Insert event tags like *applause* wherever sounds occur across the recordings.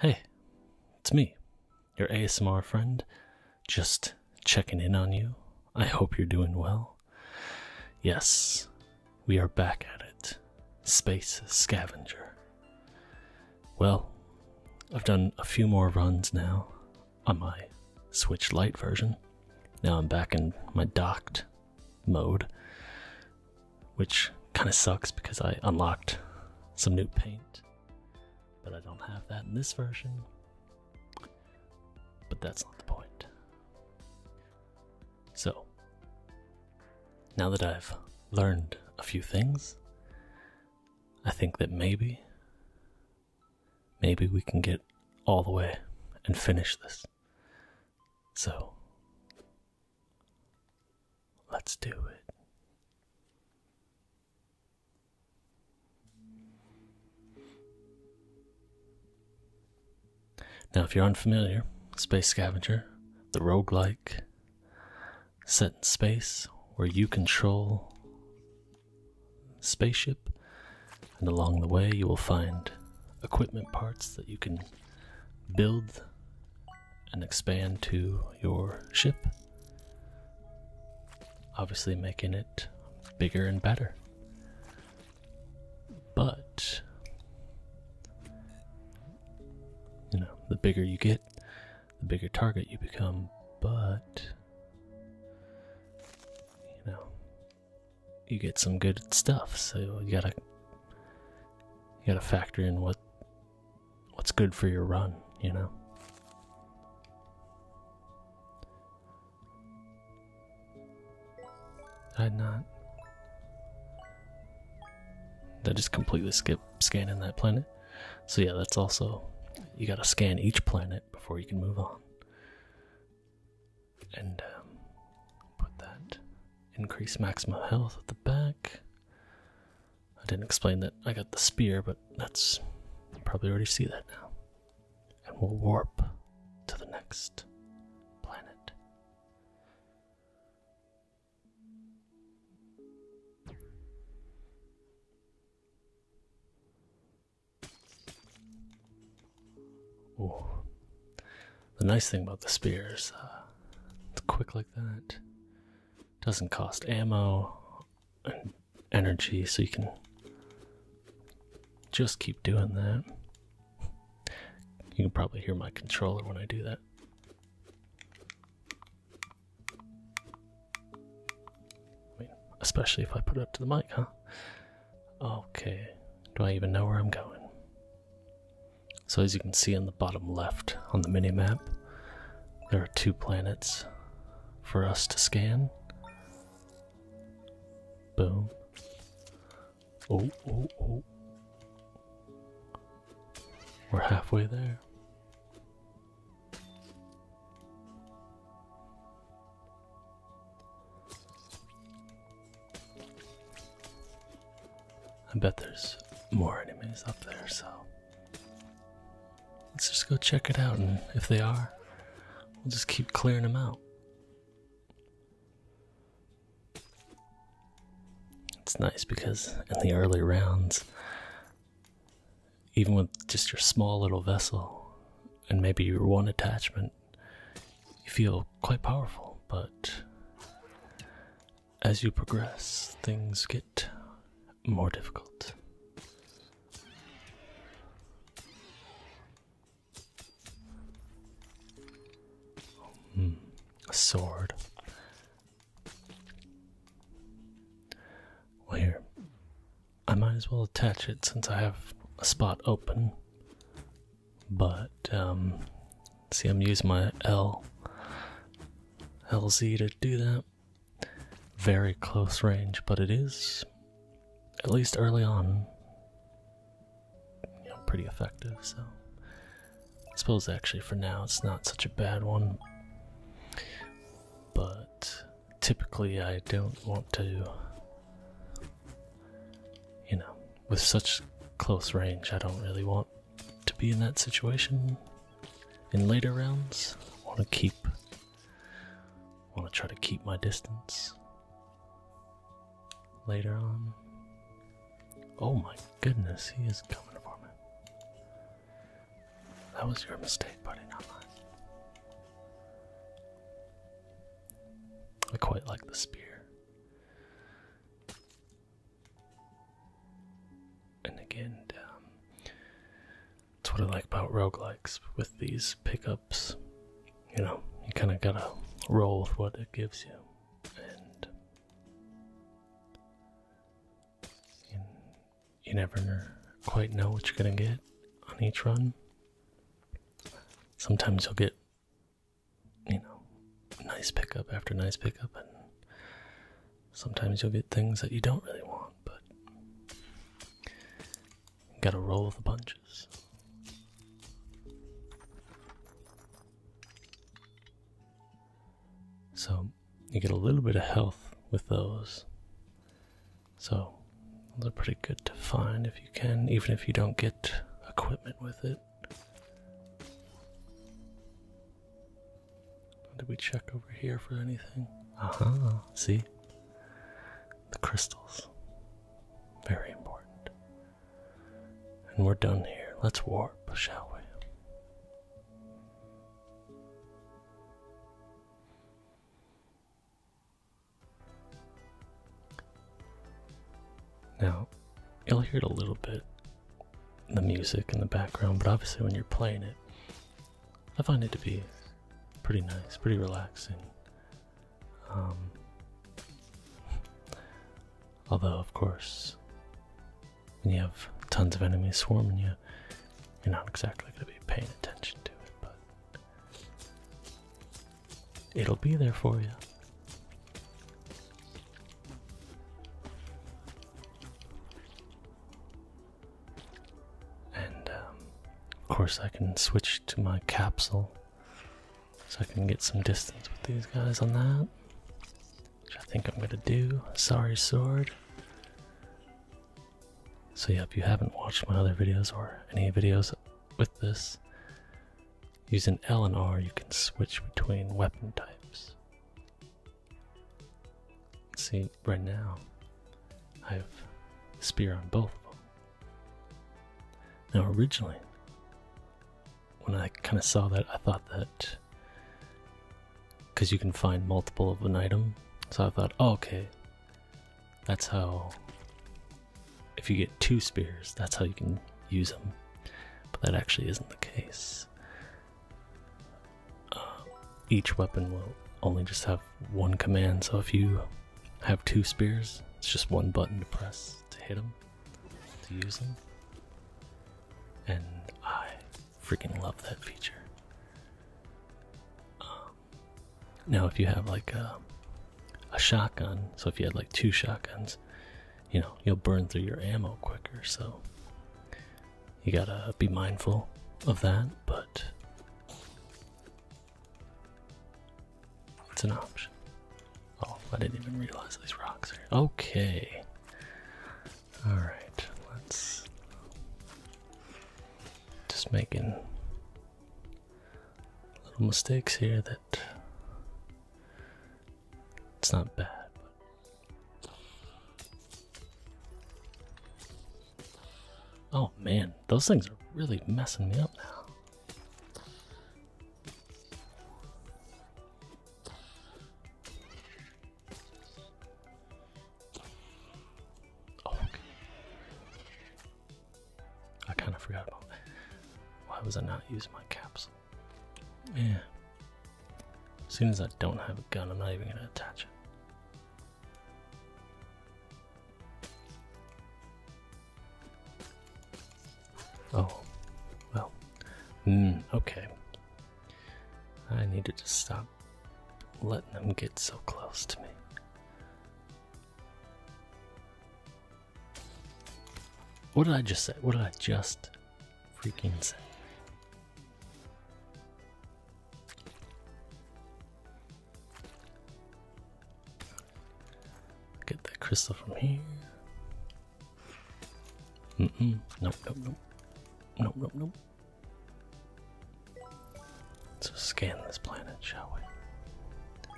Hey, it's me, your ASMR friend. Just checking in on you. I hope you're doing well. Yes, we are back at it. Space Scavenger. Well, I've done a few more runs now on my Switch Lite version. Now I'm back in my docked mode, which kind of sucks because I unlocked some new paint, but I don't have that in this version. But that's not the point. So, now that I've learned a few things, I think that maybe, maybe we can get all the way and finish this. So, Let's do it. Now, if you're unfamiliar, Space Scavenger, the roguelike set in space where you control spaceship and along the way you will find equipment parts that you can build and expand to your ship, obviously making it bigger and better. But, you know, the bigger you get, the bigger target you become, but, you know, you get some good stuff, so you gotta you gotta factor in what what's good for your run, you know? Did I not. Did just completely skip scanning that planet? So, yeah, that's also. You gotta scan each planet before you can move on. And um, put that increase maximum health at the back. I didn't explain that I got the spear, but that's. You probably already see that now. And we'll warp to the next planet. Ooh. The nice thing about the spears uh, it's quick like that. Doesn't cost ammo and energy, so you can just keep doing that. You can probably hear my controller when I do that. I mean, especially if I put it up to the mic, huh? Okay, do I even know where I'm going? So, as you can see in the bottom left on the mini map, there are two planets for us to scan. Boom. Oh, oh, oh. We're halfway there. I bet there's more enemies up there, so Let's just go check it out, and if they are, we'll just keep clearing them out. It's nice because in the early rounds, even with just your small little vessel and maybe your one attachment, you feel quite powerful. But as you progress, things get more difficult. Hmm. a sword. Well, here. I might as well attach it since I have a spot open. But, um, see, I'm using my L. LZ to do that very close range, but it is, at least early on, pretty effective, so I suppose actually for now it's not such a bad one. But typically I don't want to you know, with such close range I don't really want to be in that situation in later rounds. Want to keep, want to try to keep my distance later on. Oh my goodness, he is coming for me. That was your mistake, buddy, not mine. I quite like the spear and again, um, that's what I like about roguelikes with these pickups. You know, you kind of gotta roll with what it gives you, and you, you never quite know what you're gonna get on each run. Sometimes you'll get, you know, nice pickup after nice pickup, and sometimes you'll get things that you don't really want, but you gotta roll the punches. So you get a little bit of health with those. So they are pretty good to find if you can, even if you don't get equipment with it. Did we check over here for anything? Uh See? The crystals. Very important. And we're done here. Let's warp, shall we? Now, you'll hear a little bit, the music in the background, but obviously when you're playing it, I find it to be pretty nice, pretty relaxing. Um, *laughs* although, of course, when you have tons of enemies swarming you, you're not exactly going to be paying attention to it, but it'll be there for you. And um, of course, I can switch to my capsule so I can get some distance with these guys on that. Which I think I'm gonna do. Sorry, sword. So, yeah, if you haven't watched my other videos or any videos with this, using L and R, you can switch between weapon types. See, right now, I have spear on both of them. Now, originally, when I kind of saw that, I thought that because you can find multiple of an item, so I thought, oh, okay, that's how. If you get two spears, that's how you can use them. But that actually isn't the case each weapon will only just have one command, so if you have two spears, it's just one button to press to hit them, to use them. And I freaking love that feature. Um, now, if you have like a shotgun, so if you had like two shotguns, you know, you'll burn through your ammo quicker, so you gotta be mindful of that, but it's an option. Oh, I didn't even realize these rocks are Okay. Alright, let's just making little mistakes here that it's not bad. Oh man, those things are really messing me up now. Oh, okay. I kind of forgot about Why was I not using my capsule? Yeah. As soon as I don't have a gun, I'm not even going to attach it. Oh, well, mm, okay. I needed to stop letting them get so close to me. What did I just say? What did I just freaking say? Get that crystal from here. Mm mm. Nope, nope, nope. Nope, nope, nope. So scan this planet, shall we?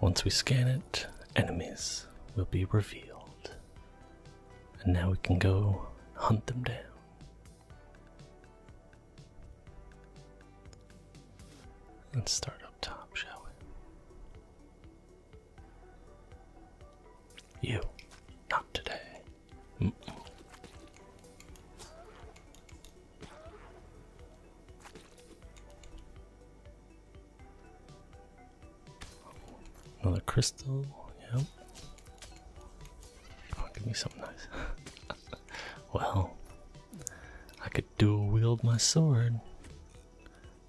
Once we scan it, enemies will be revealed. And now we can go hunt them down. Let's start up top, shall we? You, not today. Another crystal, yeah. Oh, give me something nice. *laughs* well, I could dual wield my sword.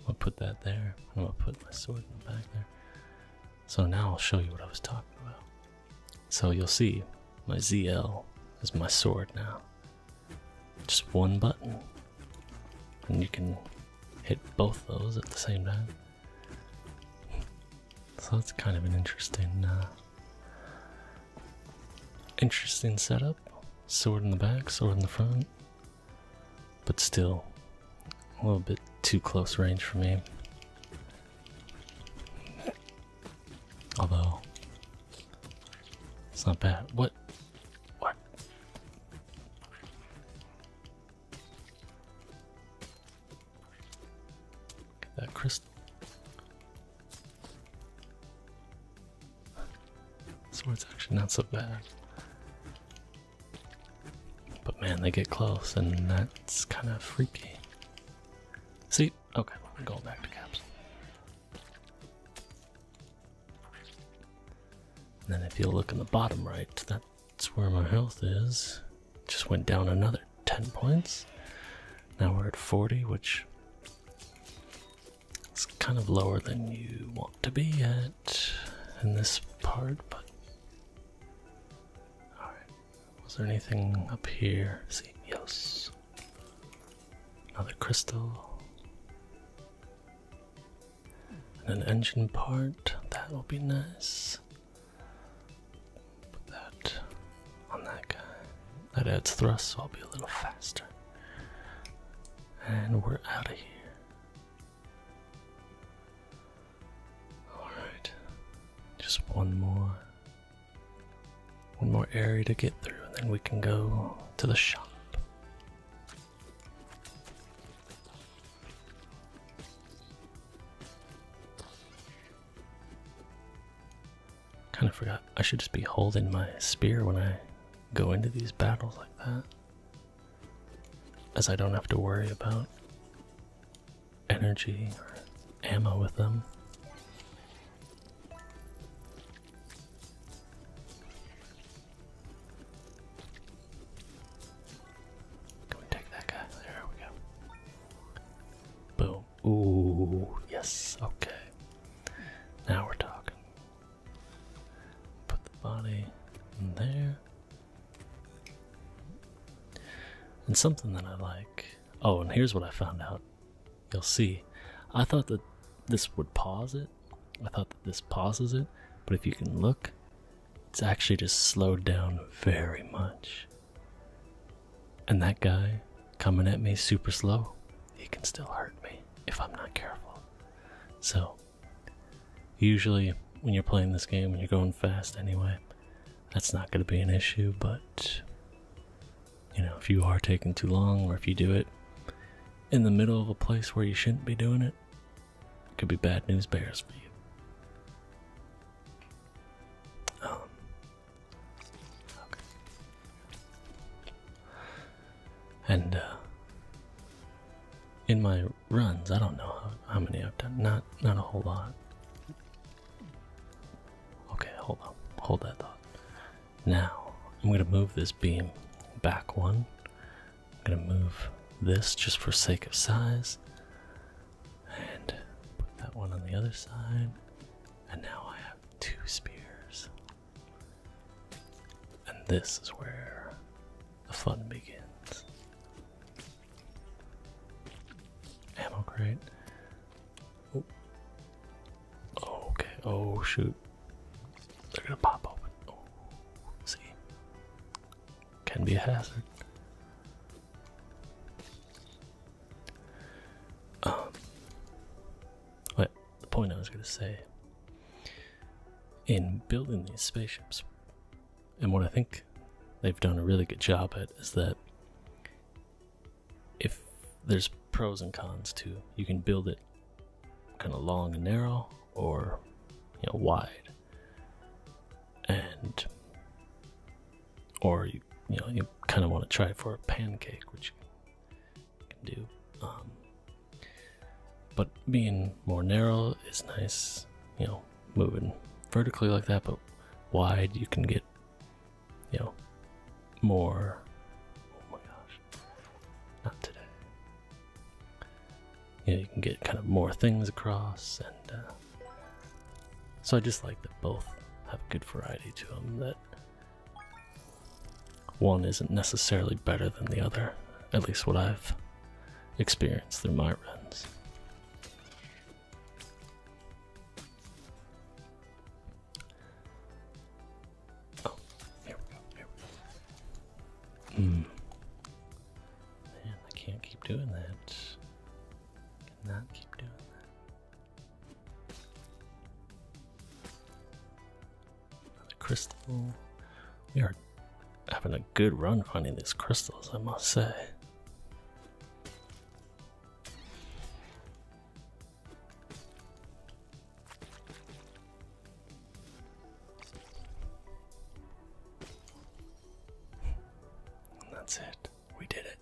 I'll put that there. I'm gonna put my sword in the back there. So now I'll show you what I was talking about. So you'll see my ZL is my sword now. Just one button. And you can hit both those at the same time. So that's kind of an interesting, uh, interesting setup. Sword in the back, sword in the front, but still a little bit too close range for me. Although it's not bad. What? What? Get that crystal. Sword's actually not so bad. But man, they get close, and that's kind of freaky. See? Okay, we're go back to caps. And then if you look in the bottom right, that's where my health is. Just went down another. 10 points. Now we're at 40, which is kind of lower than you want to be at in this part, but. Alright. Was there anything up here? See, yes. Another crystal. And an engine part. That will be nice. Put that on that guy. That adds thrust, so I'll be a little faster. And we're out of here. Alright. Just one more one more area to get through, and then we can go to the shop. Kind of forgot. I should just be holding my spear when I go into these battles like that. As I don't have to worry about energy or ammo with them. Can we take that guy? There we go. Boom. Ooh, yes, okay. Now we're talking. Put the body in there. And something that I like. Oh, and here's what I found out. You'll see. I thought that this would pause it. I thought that this pauses it. But if you can look, it's actually just slowed down very much. And that guy coming at me super slow, he can still hurt me if I'm not careful. So, usually when you're playing this game and you're going fast anyway, that's not going to be an issue, but you know, if you are taking too long or if you do it in the middle of a place where you shouldn't be doing it, it could be bad news bears for you. Um, and uh, in my runs, I don't know how, how many I've done. Not not a whole lot. Okay, hold on. Hold that thought. Now I'm gonna move this beam back one. I'm gonna move this just for sake of size. And put that one on the other side. And now I have two spears. And this is where the fun begins. Ammo crate. Oh. okay. Oh shoot. They're gonna pop open. Oh, see. Can be a hazard. Um, but the point I was going to say in building these spaceships, and what I think they've done a really good job at is that if there's pros and cons too, you can build it kind of long and narrow or you know wide. And or you, you know you kind of want to try for a pancake, which you can do. Um, but being more narrow is nice, you know, moving vertically like that, but wide you can get, you know, more. Oh my gosh, not today. You know, you can get kind of more things across and. Uh, so I just like that both have good variety to them, that one isn't necessarily better than the other, at least what I've experienced through my runs. Oh, here we go, here we go. Mm. Man, I can't keep doing that. Cannot keep doing that crystal. We are having a good run finding these crystals, I must say. And that's it. We did it.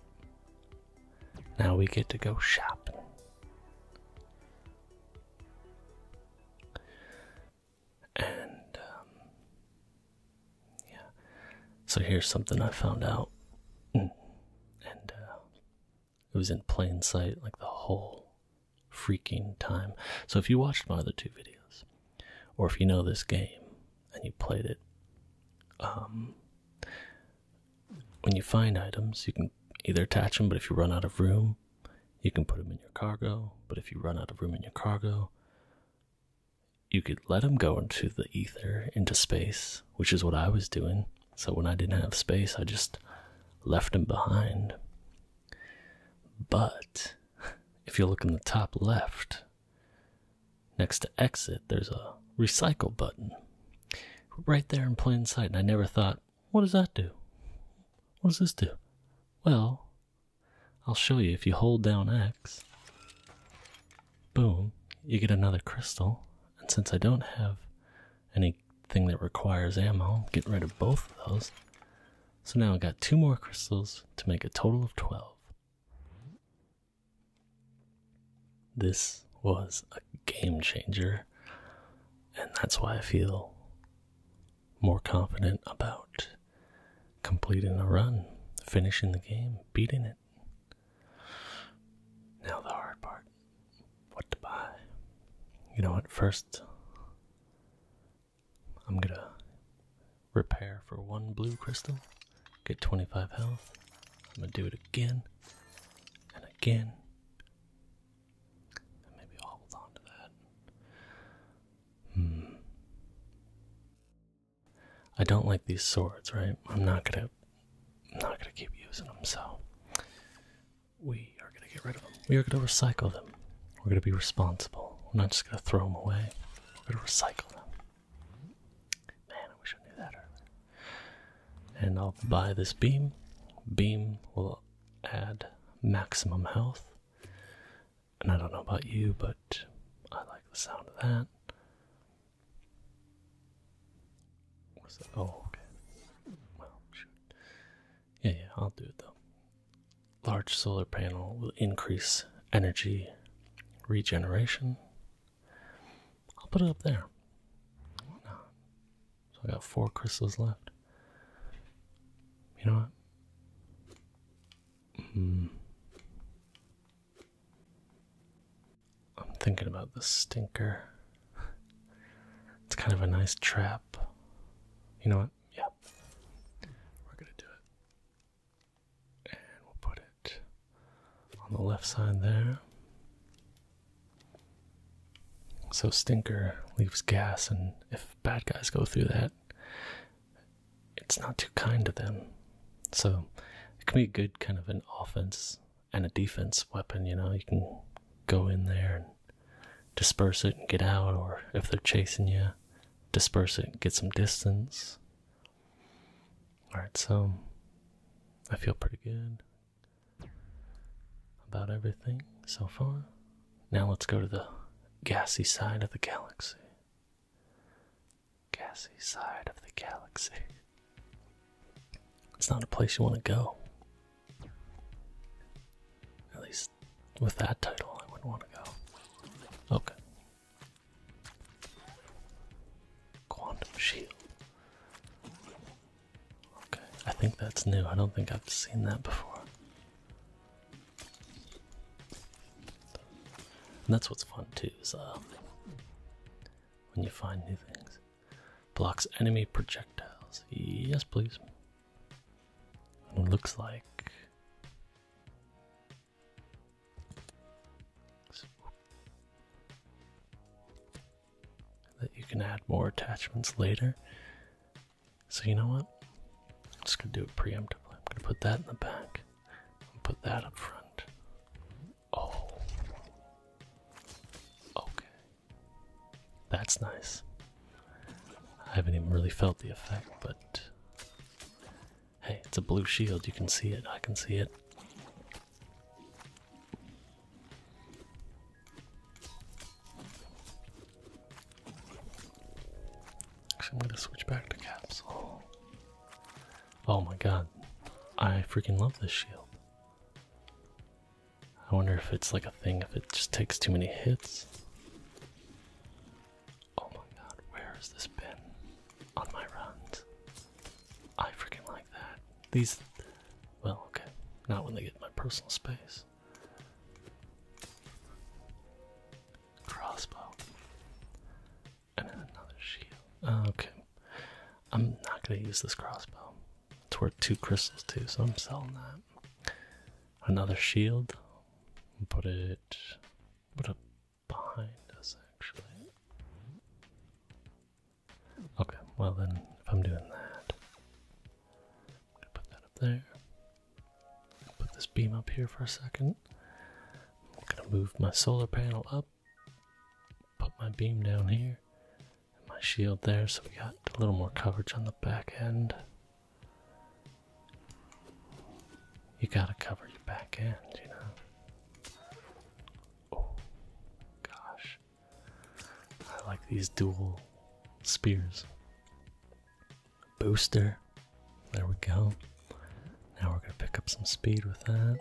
Now we get to go shopping. And, um, yeah. So here's something I found out. Mm. And, uh, it was in plain sight, like the whole freaking time. So if you watched my other two videos, or if you know this game and you played it, um, when you find items, you can either attach them, but if you run out of room, you can put them in your cargo. But if you run out of room in your cargo, you could let them go into the ether, into space, which is what I was doing. So when I didn't have space, I just left them behind. But *laughs* if you look in the top left, Next to exit, there's a recycle button right there in plain sight. And I never thought, what does that do? What does this do? Well, I'll show you. If you hold down X, boom, you get another crystal. And since I don't have anything that requires ammo, I'm getting rid of both of those. So now I have got two more crystals to make a total of 12. This was a game changer, and that's why I feel more confident about completing the run, finishing the game, beating it. Now, the hard part what to buy. You know what? First, I'm gonna repair for one blue crystal. Get 25 health. I'm gonna do it again and again. maybe i hold on to that. Hmm. I don't like these swords, right? I'm not gonna I'm not gonna keep using them, so we are gonna get rid of them. We are gonna recycle them. We're gonna be responsible. We're not just gonna throw them away. We're gonna recycle them. Man, I wish I knew that And I'll buy this beam. Beam will add maximum health. And I don't know about you, but I like the sound of that. What's that? Oh, okay. Well, shoot. Yeah, yeah, I'll do it though. Large solar panel will increase energy regeneration. I'll put it up there. Why not? So I got four crystals left. You know what? Hmm. I'm thinking about the stinker. It's kind of a nice trap. You know what? Yep. We're going to do it. And we'll put in on the left side there. So Stinker leaves gas, and if bad guys go through that, it's not too kind to them. So it can be a good kind of an offense and a defense weapon, you know, you can go in there and disperse it and get out, or if they're chasing you, disperse it and get some distance. Alright, so I feel pretty good about everything so far. Now let's go to the gassy side of the galaxy. Gassy side of the galaxy. It's not a place you want to go. At least with that title, I wouldn't want to go. Okay. Quantum Shield. Okay, I think that's new. I don't think I've seen that before. that's what's fun too, is um, when you find new things. Blocks enemy projectiles. Yes, please. looks like that you can add more attachments later. So you know what? I'm just gonna do it preemptively. I'm gonna put that in the back. And put that up front. Oh. Okay. That's nice. I haven't even really felt the effect, but hey, it's a blue shield. You can see it. I can see it. Actually, I'm gonna switch back to capsule. Oh my god, I freaking love this shield. I wonder if it's like a thing, if it just takes too many hits. Oh my god, where has this been on my runs? I freaking like that. These, well, okay, not when they get in my personal space. Crossbow. And then another shield. Oh, okay. I'm not gonna use this crossbow. It's worth two crystals too, so I'm selling that. Another shield. Put it put it behind us actually. Okay, well then, if I'm doing that, I'm gonna put that up there. Put this beam up here for a second. I'm gonna move my solar panel up, put my beam down here, my shield there, so we got a little more coverage on the back end. You gotta cover your back end, you know. Oh, gosh. I like these dual spears. Booster. There we go. Now we're going to pick up some speed with that.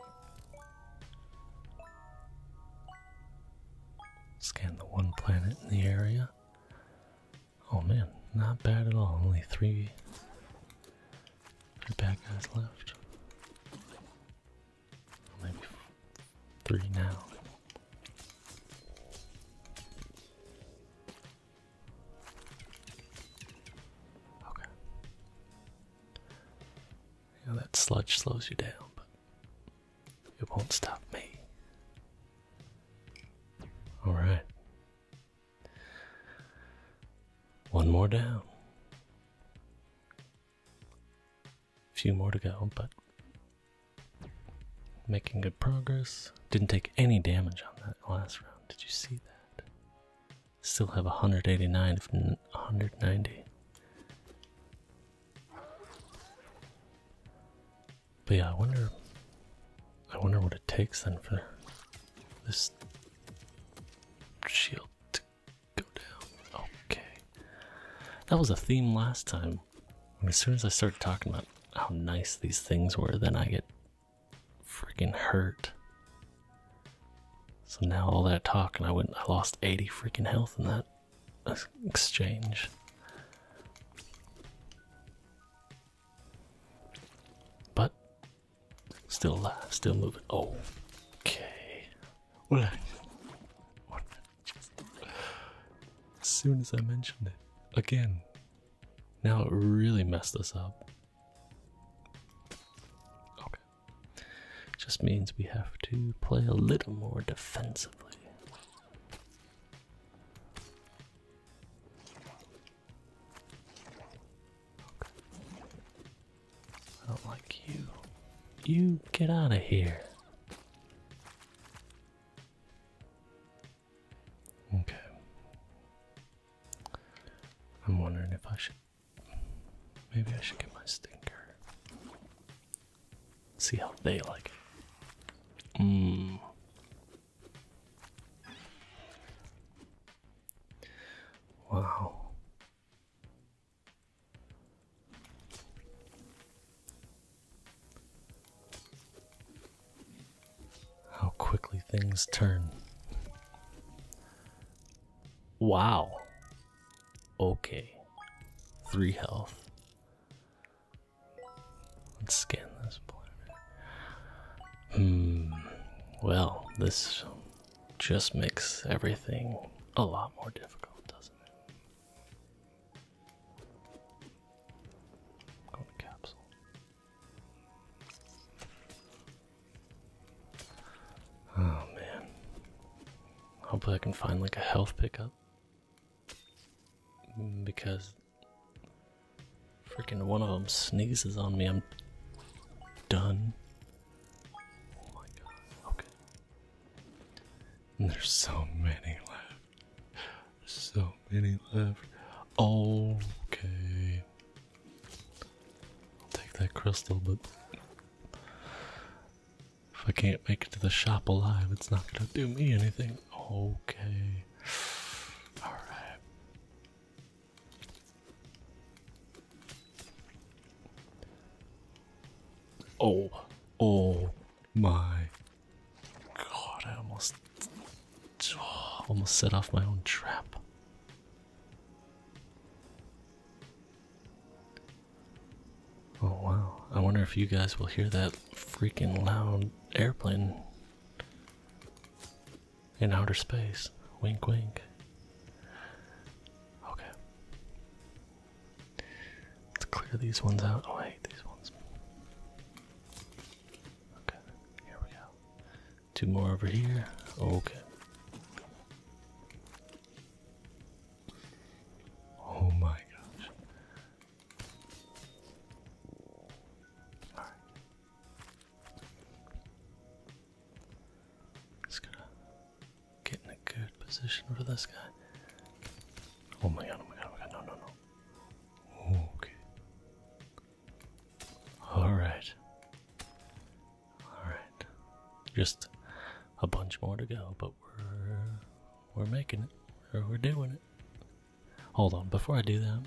Scan the one planet in the area. Oh man, not bad at all. Only three, three bad guys left. Maybe three now. Okay. You that sludge slows you down, but it won't stop me. All right. One more down few more to go, but making good progress. Didn't take any damage on that last round. Did you see that? Still have 189 if 190. But yeah, I wonder. I wonder what it takes then for this shield to Go down. Okay. That was a theme last time. As soon as I start talking about how nice these things were, then I get freaking hurt. So now all that talk and I went I lost 80 freaking health in that exchange. But still alive, still moving. Okay. Well, as soon as I mentioned it again, now it really messed us up. Okay, just means we have to play a little more defensively. I don't like you. You get out of here. Okay. I'm wondering if I should. Maybe I should get my stinker. See how they like it. Mmm. Wow. How quickly things turn. Wow. Okay. Three health. Let's scan this planet. Hmm. Well, this just makes everything a lot more difficult, doesn't it? Got capsule. Oh man. Hopefully I can find like a health pickup. Because freaking one of them sneezes on me, I'm done. Oh my god, okay there's so many left. So many left. Okay. take that crystal, but if I can't make it to the shop alive, it's not gonna do me anything. Okay. Alright. Oh, oh my god, I almost *sighs* almost set off my own trap. Oh wow, I wonder if you guys will hear that freaking loud airplane in outer space. Wink, wink. Okay. Let's clear these ones out. Oh, I hate these ones. Okay, here we go. Two more over here. Okay. Oh my gosh. Alright. Just gonna Get in a good position for this guy. Oh my god, oh my god, oh my god, no, no, no. Okay. Alright. Alright. Just a bunch more to go, but we're we're making it. we're doing it. Hold on, before I do that, I'm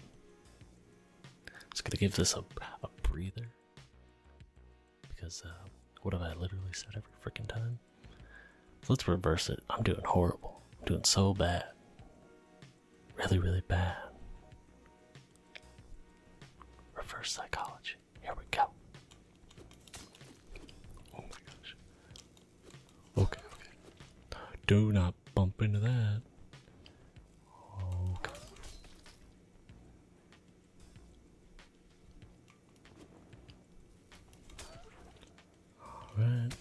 just gonna give this a, a breather because uh, what have I literally said every freaking time? let's reverse it. I'm doing horrible. I'm doing so bad. Really, really bad. Reverse psychology. Here we go. Oh my gosh. Okay, okay. Do not bump into that. Okay. Alright.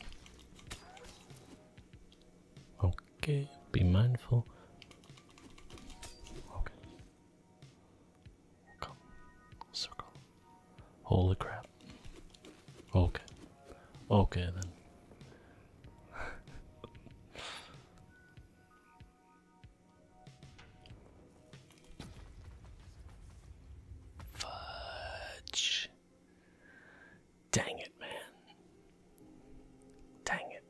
Okay, be mindful. Okay. Circle. Holy crap. Okay. Okay then. Fudge. Dang it, man. Dang it.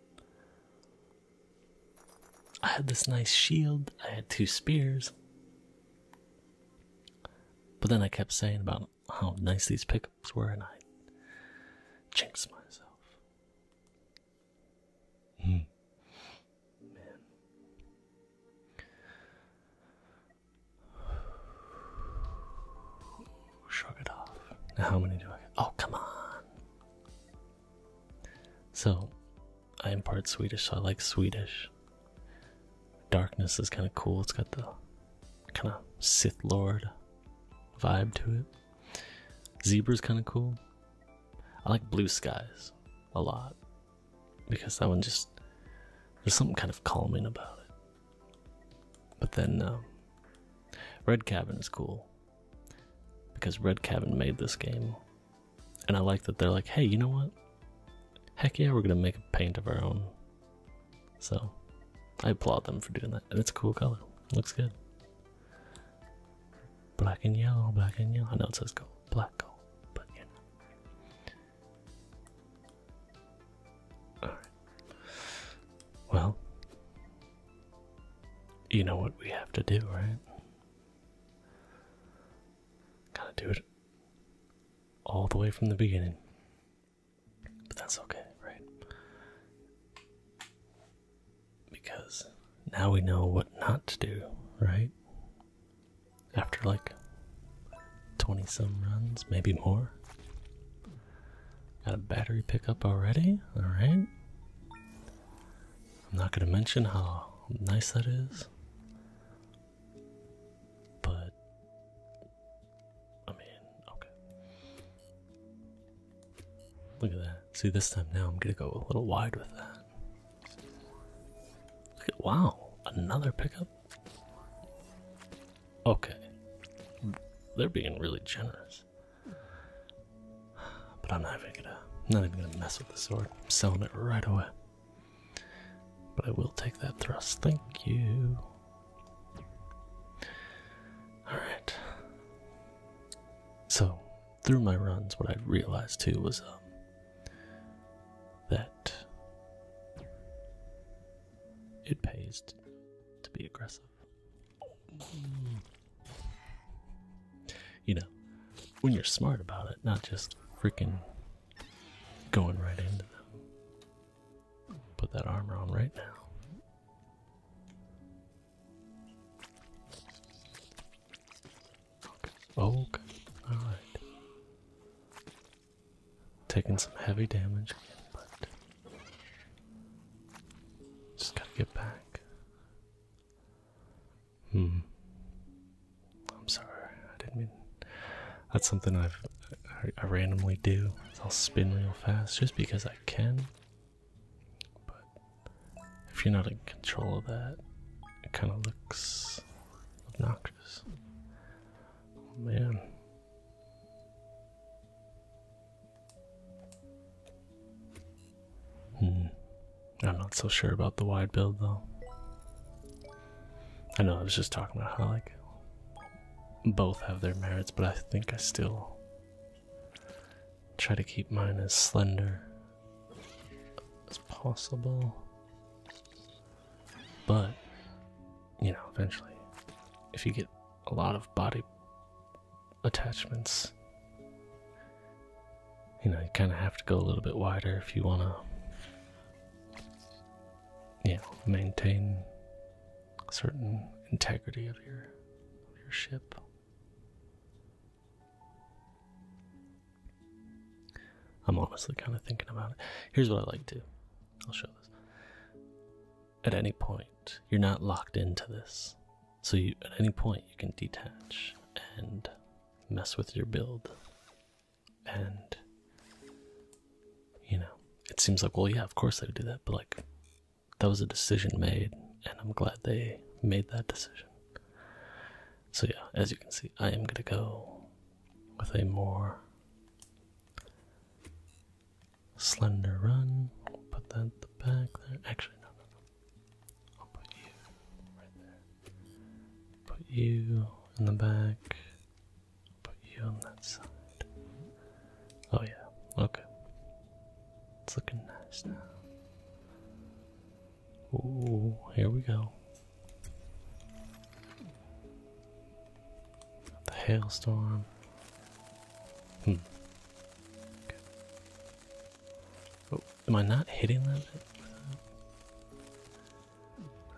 I had this nice shield, I had two spears. But then I kept saying about how nice these pickups were, and I chinks myself. Mm. Shrug it off. how many do I Oh, come on. So, I am part Swedish, so I like Swedish. Darkness is kind of cool. It's got the kind of Sith Lord vibe to it. Zebra's kind of cool. I like blue skies a lot because that one just there's something kind of calming about it. But then um, Red Cabin is cool because Red Cabin made this game, and I like that they're like, hey, you know what? Heck yeah, we're gonna make a paint of our own. So I applaud them for doing that, and it's a cool color. Looks good. Black and yellow, black and yellow. I know it says gold black hole, but you know. Alright. Well, you know what we have to do, right? Gotta do it all the way from the beginning. But that's okay, right? Because now we know what not to do, right? after like 20 some runs, maybe more. Got a battery pickup already, alright. I'm not going to mention how nice that is, but I mean, okay. Look at that. See, this time now I'm going to go a little wide with that wow, another pickup? Okay. They're being really generous. But I'm not even gonna not even gonna mess with the sword. I'm selling it right away. But I will take that thrust. Thank you. Alright. So, through my runs, what I realized too was um, that it pays to, be aggressive. You know, when you're smart about it, not just freaking going right into them. Put that armor on right now. Focus. okay. Alright. Taking some heavy damage again, but. Just gotta get back. Hmm. I'm sorry. I didn't mean. That's something I've. I randomly do. I'll spin real fast just because I can. But if you're not in control of that, it kind of looks obnoxious. Oh, man. Hmm. I'm not so sure about the wide build though. I know I was just talking about how like both have their merits, but I think I still try to keep mine as slender as possible. But, you know, eventually, if you get a lot of body attachments, you know, you kind of have to go a little bit wider if you want to, you know, maintain certain integrity of your, of your ship. I'm honestly kind of thinking about it. Here's what I like to. I'll show this. At any point, you're not locked into this. So you, at any point, you can detach and mess with your build. And, you know, it seems like, well, yeah, of course they would do that. But, like, that was a decision made. And I'm glad they made that decision. So, yeah, as you can see, I am going to go with a more slender run. put that at the back there. Actually, no, no, no. I'll put you right there. Put you in the back. Put you on that side. Oh, yeah. Okay. It's looking nice now. Ooh, here we go. The hailstorm. Hmm. Oh, am I not hitting them?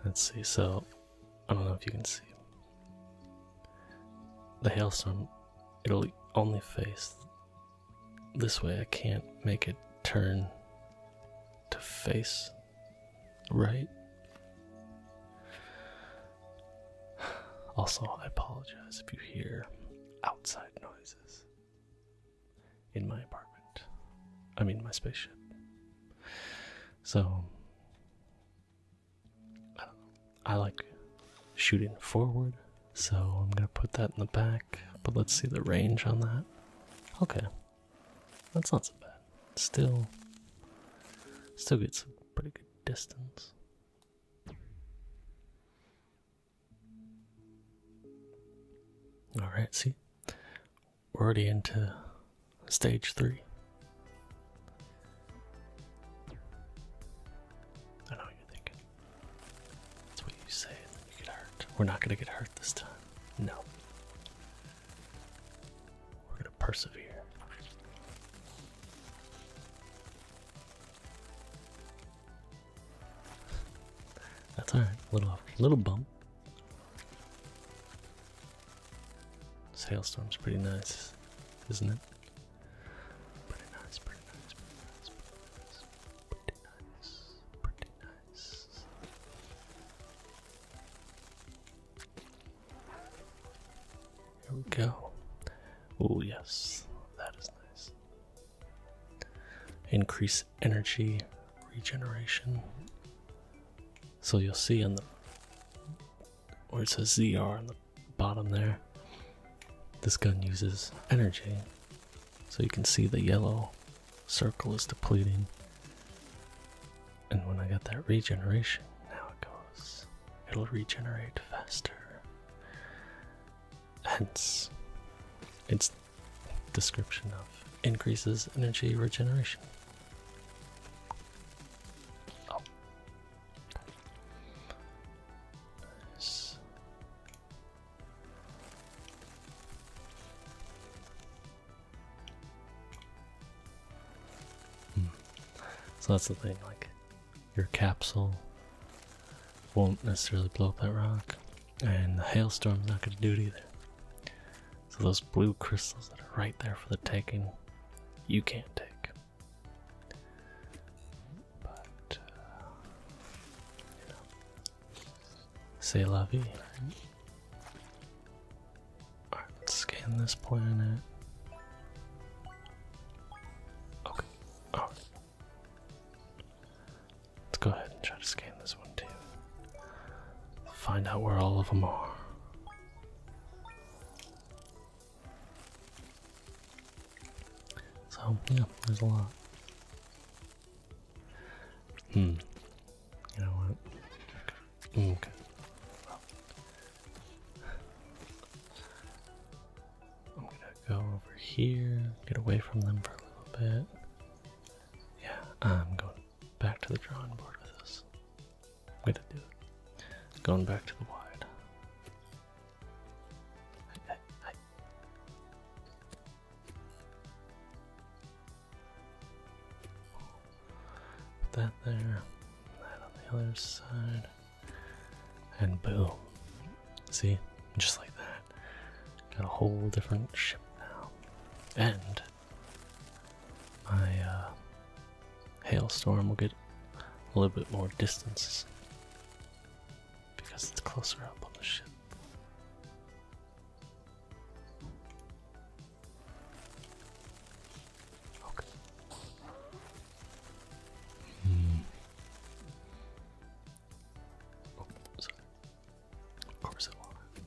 Let's see. So, I don't know if you can see. The hailstorm, it'll only face this way. I can't make it turn to face Right. *sighs* Also, I apologize if you hear outside noises in my apartment. I mean, my spaceship. So, I don't know. I like shooting forward, so I'm gonna put that in the back, but let's see the range on that. Okay, that's not so bad. Still, still gets a pretty good distance. All right, see, we're already into stage three. I know what you're thinking. That's what you say, and then you get hurt. We're not gonna get hurt this time. No. We're gonna persevere. That's alright. Little little bump. This hailstorm's pretty nice, isn't it? Pretty nice, pretty nice, pretty nice, pretty nice, pretty nice, pretty nice. Here we go. Oh, yes, that is nice. Increase energy regeneration. So you'll see on the where it says ZR on the bottom there, this gun uses energy. So you can see the yellow circle is depleting. And when I get that regeneration, now it goes. It'll regenerate faster. Hence its description of increases energy regeneration. Oh. Nice. Hmm. So that's the thing, like, your capsule won't necessarily blow up that rock, and the hailstorm's not going to do it either. So those blue crystals that are right there for the taking, you can't take. But, uh, you know, say la let's scan this planet. Okay, Let's go ahead and try to scan this one too. Find out where all of them are. So, yeah, there's a lot. Hmm, you know what? Okay. I'm gonna go over here, get away from them for a little bit. Yeah, I'm going back to the drawing board with this. I'm gonna do it. Going back to the wide. Put that there, that on the other side, and boom. See? Just like that. Got a whole different ship now. And my uh, hailstorm will get a little bit more distance because it's closer up on the ship. Of course I want it.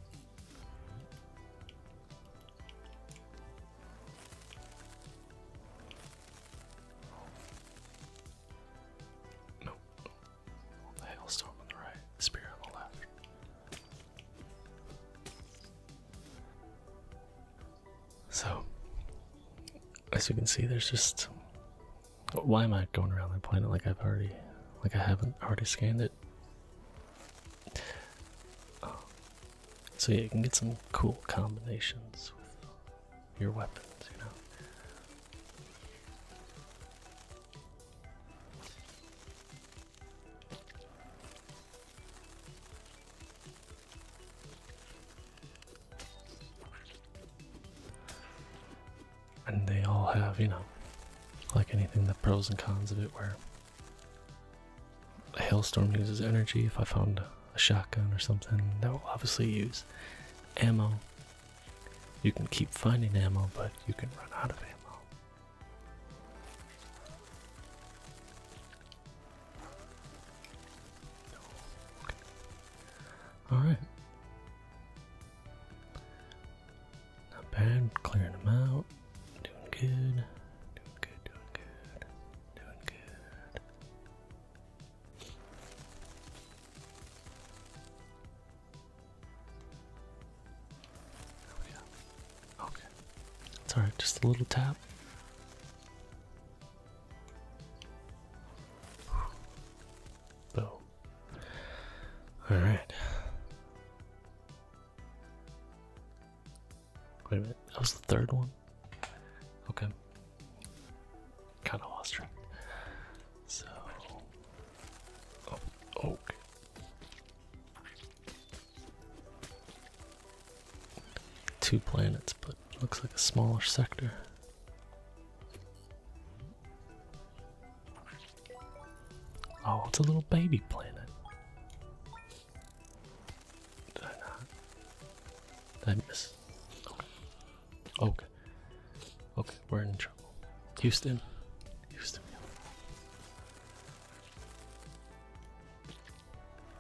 No. Hailstorm on the right, spear on the left. So, as you can see, there's just. Why am I going around the planet like I've already. like I haven't already scanned it? So, yeah, you can get some cool combinations with your weapons, you know? And they all have, you know, like anything, the pros and cons of it. Where a hailstorm uses energy. If I found a shotgun or something, that will obviously use ammo. You can keep finding ammo, but you can run out of ammo. All right. Not bad. Clearing them out. Doing good. Doing good. Doing good. Doing good. Oh, okay. Okay. alright, just a little tap. Boom. Alright. Wait a minute, that was the third one? Okay. Kinda lost track. So. Oh, okay. Two planets, but looks like a smaller sector. Oh, it's a little baby planet. Did I not? Did I miss? Okay. Okay. Okay, we're in trouble. Houston. Houston.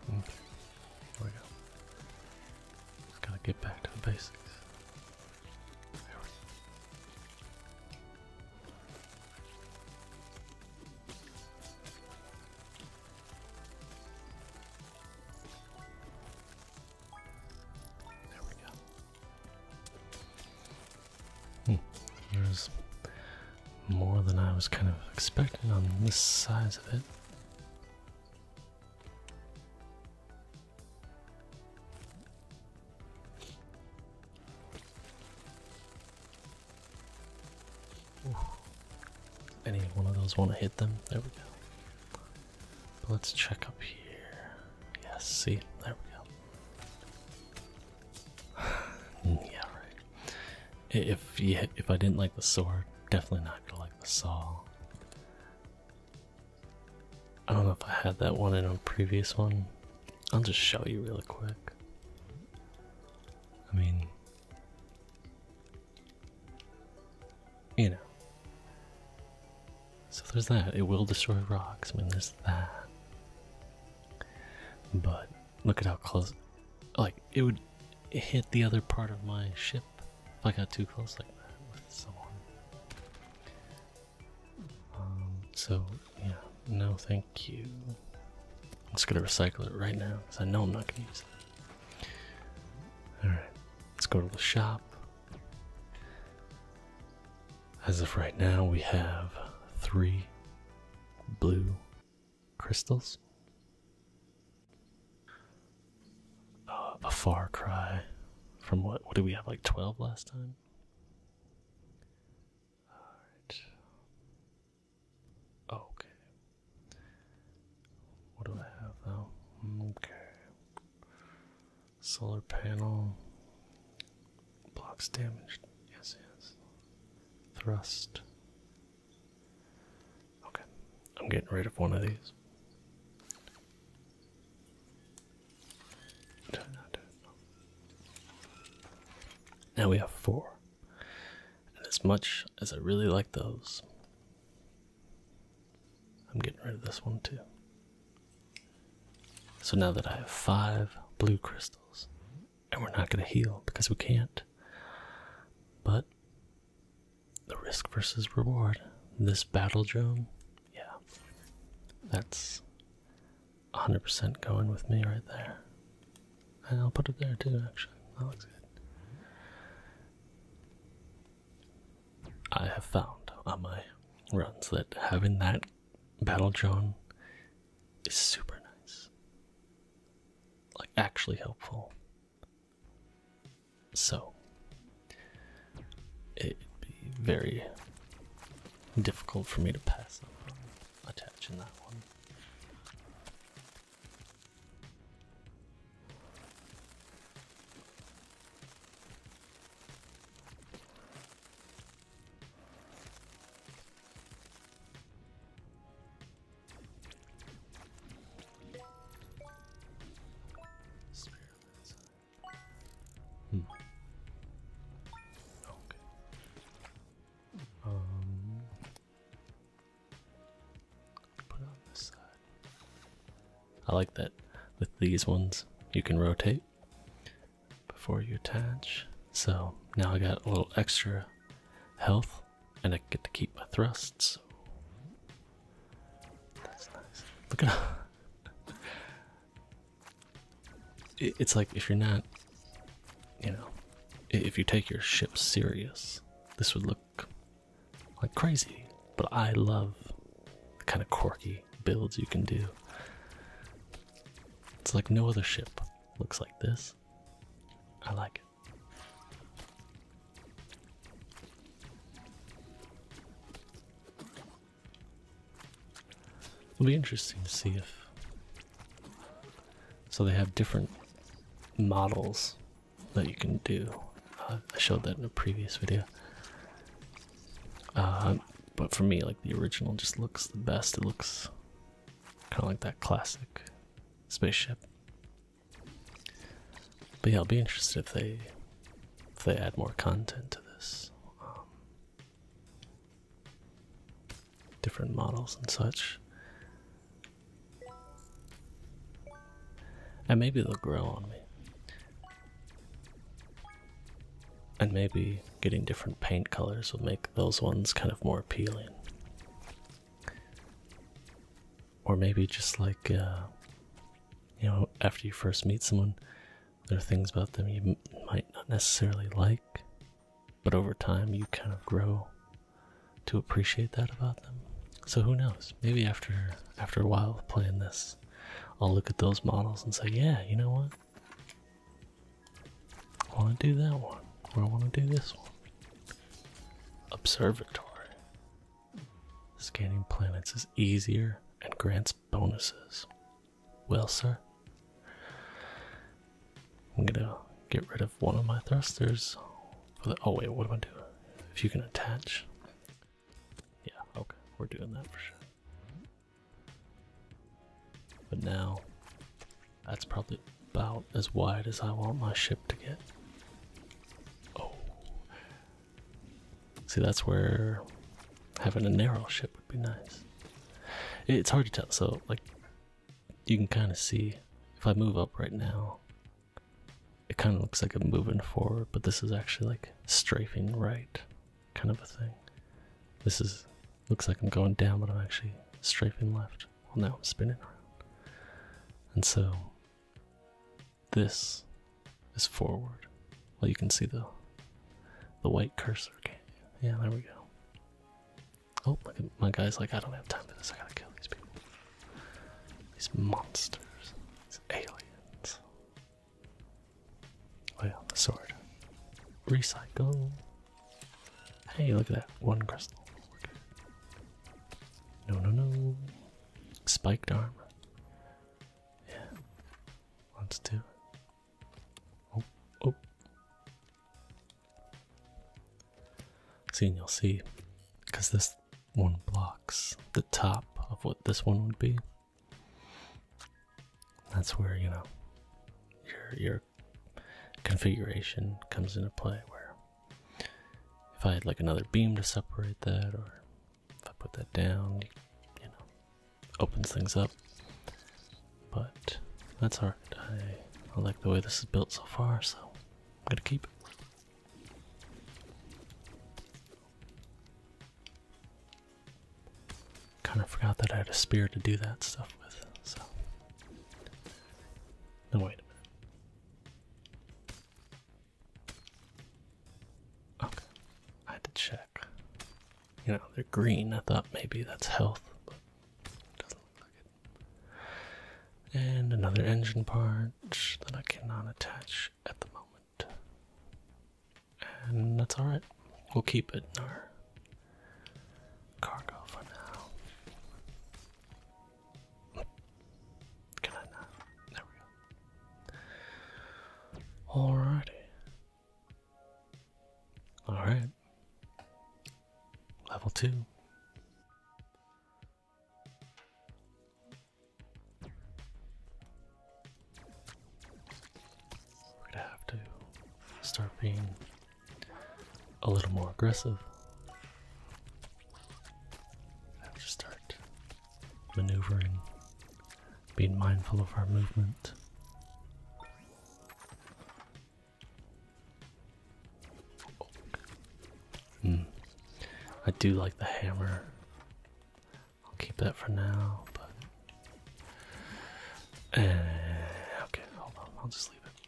Okay, there we go. Just gotta get back to the basics. There we go. Hmm. Here's more than I was kind of expecting on this size of it. Any one of those want to hit them? There we go. let's check up here. Yes, see, there we go. *sighs* yeah, right. If yeah, if I didn't like the sword, definitely not gonna like the saw. I don't know if I had that one in a previous one. I'll just show you really quick. I mean, you know. So there's that. It will destroy rocks. When there's that. But Look at how close. Like, it would hit the other part of my ship if I got too close like that with someone. Um, so, yeah, no thank you. I'm just gonna recycle it right now because I know I'm not gonna use it. Alright, let's go to the shop. As of right now, we have three blue crystals. Uh, a far cry from what? What do we have? Like 12 last time? Alright. Okay. What do I have though? Okay. Solar panel blocks damaged. Yes, yes thrust. Okay, I'm getting rid of one of these. Now we have four. And as much as I really like those, I'm getting rid of this one too. So now that I have five blue crystals, and we're not going to heal because we can't. But the risk versus reward, this battle drone, yeah, that's 100% going with me right there. And I'll put it there too, actually. That looks good. I have found on my runs that having that battle drone is super nice like actually helpful. So it'd be very difficult for me to pass up attaching that one. Hmm. Okay. Um. Put on this side. I like that with these ones you can rotate before you attach. So now I got a little extra health, and I get to keep my thrusts. That's nice. Look at *laughs* It's like if you're not, you know, if you take your ship serious, this would look like crazy. But I love the kind of quirky builds you can do. It's like no other ship looks like this. I like it. It'll be interesting to see if. So they have different models that you can do. Uh, I showed that in a previous video. Uh, but for me, like the original just looks the best. It looks kind of like that classic spaceship. But yeah, I'll be interested if they if they add more content to this. Um, different models and such. And maybe they'll grow on me. And maybe getting different paint colors will make those ones kind of more appealing. Or maybe just like, uh, you know, after you first meet someone, there are things about them you might not necessarily like, but over time you kind of grow to appreciate that about them. So who knows? Maybe after after a while playing this, I'll look at those models and say, yeah, you know what? I want to do that one, or I want to do this one. Observatory. Scanning planets is easier and grants bonuses. Well, sir, I'm gonna get rid of one of my thrusters. oh, wait, what do I do? If you can attach. Yeah, okay, we're doing that for sure. But now that's probably about as wide as I want my ship to get. Oh. See, that's where having a narrow ship would be nice. It's hard to tell, so, like, you can kind of see if I move up right now, it kind of looks like I'm moving forward, but this is actually like strafing right kind of a thing. This is looks like I'm going down, but I'm actually strafing left. Well, now I'm spinning around. And so this is forward. Well, you can see the the white cursor. yeah, there we go. Oh, look at my guy's like, I don't have time for this. I gotta kill these people. These monsters. These aliens. Oh yeah, the sword. Recycle. Hey, look at that. One crystal. No, no, no. Spiked arm. Yeah. Let's Oh, oh. See, and you'll see. Because this one blocks the top of what this one would be. That's where, you know, You're configuration comes into play where if I had like another beam to separate that or if I put that down, you know, opens things up. But that's alright. I, I like the way this is built so far, so I'm gonna keep it. Kind of forgot that I had a spear to do that stuff with, so no, wait a minute. Okay, I had to check. You know, they're green. I thought maybe that's health, but doesn't look like it. And another engine part that I cannot attach at the moment. And that's alright. We'll keep it in our cargo for now. Can uh, I Alright. Level two. We're gonna have to start being a little more aggressive. I have to start maneuvering, being mindful of our movement. Oh. I do like the hammer. I'll keep that for now, but. Eh, okay, hold on. I'll just leave it.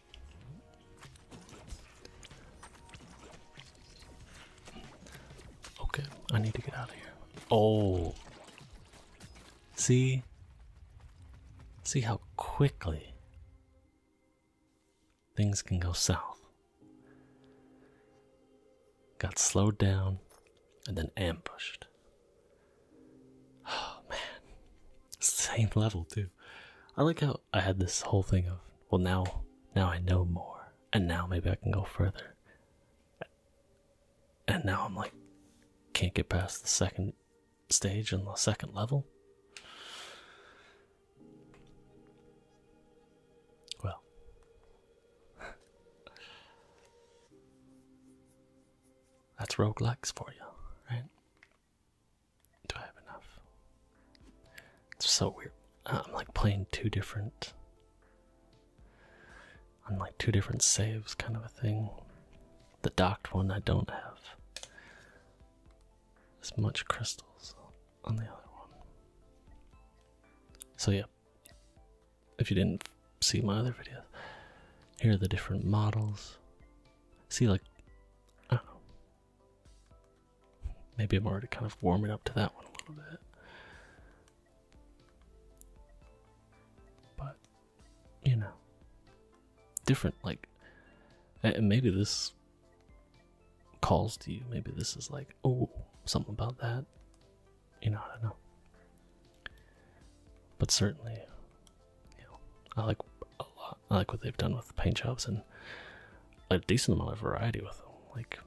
Okay, I need to get out of here. Oh. See? See how quickly things can go south. Got slowed down and then ambushed. Oh man. Same level too. I like how I had this whole thing of well now now I know more and now maybe I can go further. And now I'm like can't get past the second stage and the second level. Well. *laughs* That's rogue roguelikes for you, right? Do I have enough? It's so weird. Uh, I'm like playing two different. I'm like two different saves, kind of a thing. The docked one, I don't have as much crystals on the other one. So, yeah, if you didn't see my other videos, here are the different models. See, like, I don't know, Maybe I'm already kind of warming up to that one a little bit. But, you know, different, like, and maybe this calls to you. Maybe this is like, oh, something about that. You know, I don't know. But certainly, you know, I like a lot I like what they've done with paint jobs and a decent amount of variety with them. Like,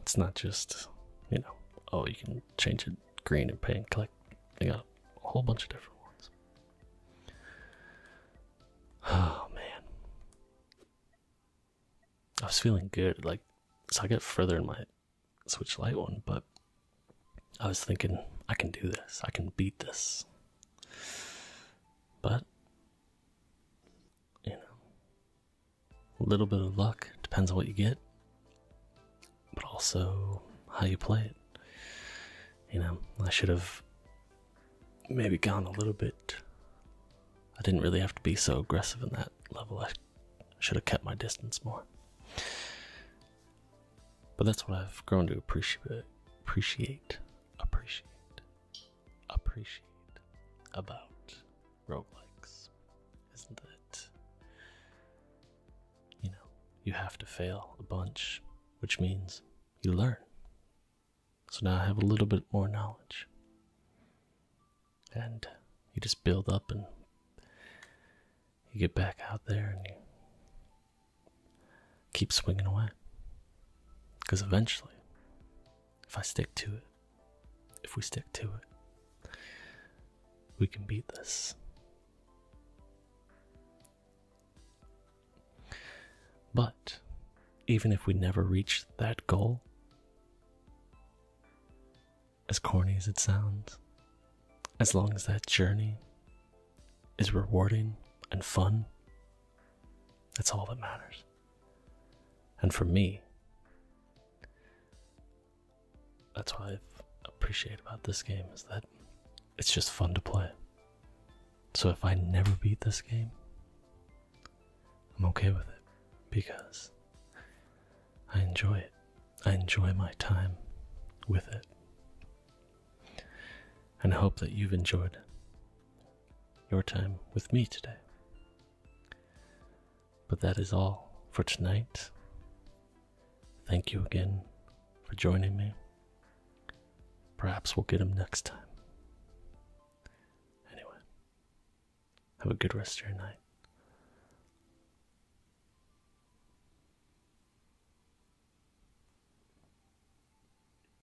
it's not just, you know, oh, you can change it green and paint collect. They got a whole bunch of different ones. Oh, man. I was feeling good. Like, so I got further in my Switch Lite one, but I was thinking, I can do this. I can beat this. But you know, a little bit of luck, depends on what you get, but also how you play it. You know, I should have maybe gone a little bit. I didn't really have to be so aggressive in that level. I should have kept my distance more. But that's what I've grown to appreciate. Appreciate. Appreciate appreciate about roguelikes, isn't that you know, you have to fail a bunch, which means you learn. So now I have a little bit more knowledge. And you just build up and you get back out there and you keep swinging away. Because eventually, if I stick to it, if we stick to it, we can beat this. But even if we never reach that goal, as corny as it sounds, as long as that journey is rewarding and fun that's all that matters. And for me, that's what I appreciate about this game is that it's just fun to play. So if I never beat this game, I'm okay with it because I enjoy it. I enjoy my time with it. And I hope that you've enjoyed your time with me today. But that is all for tonight. Thank you again for joining me. Perhaps we'll get him next time. Anyway, have a good rest of your night.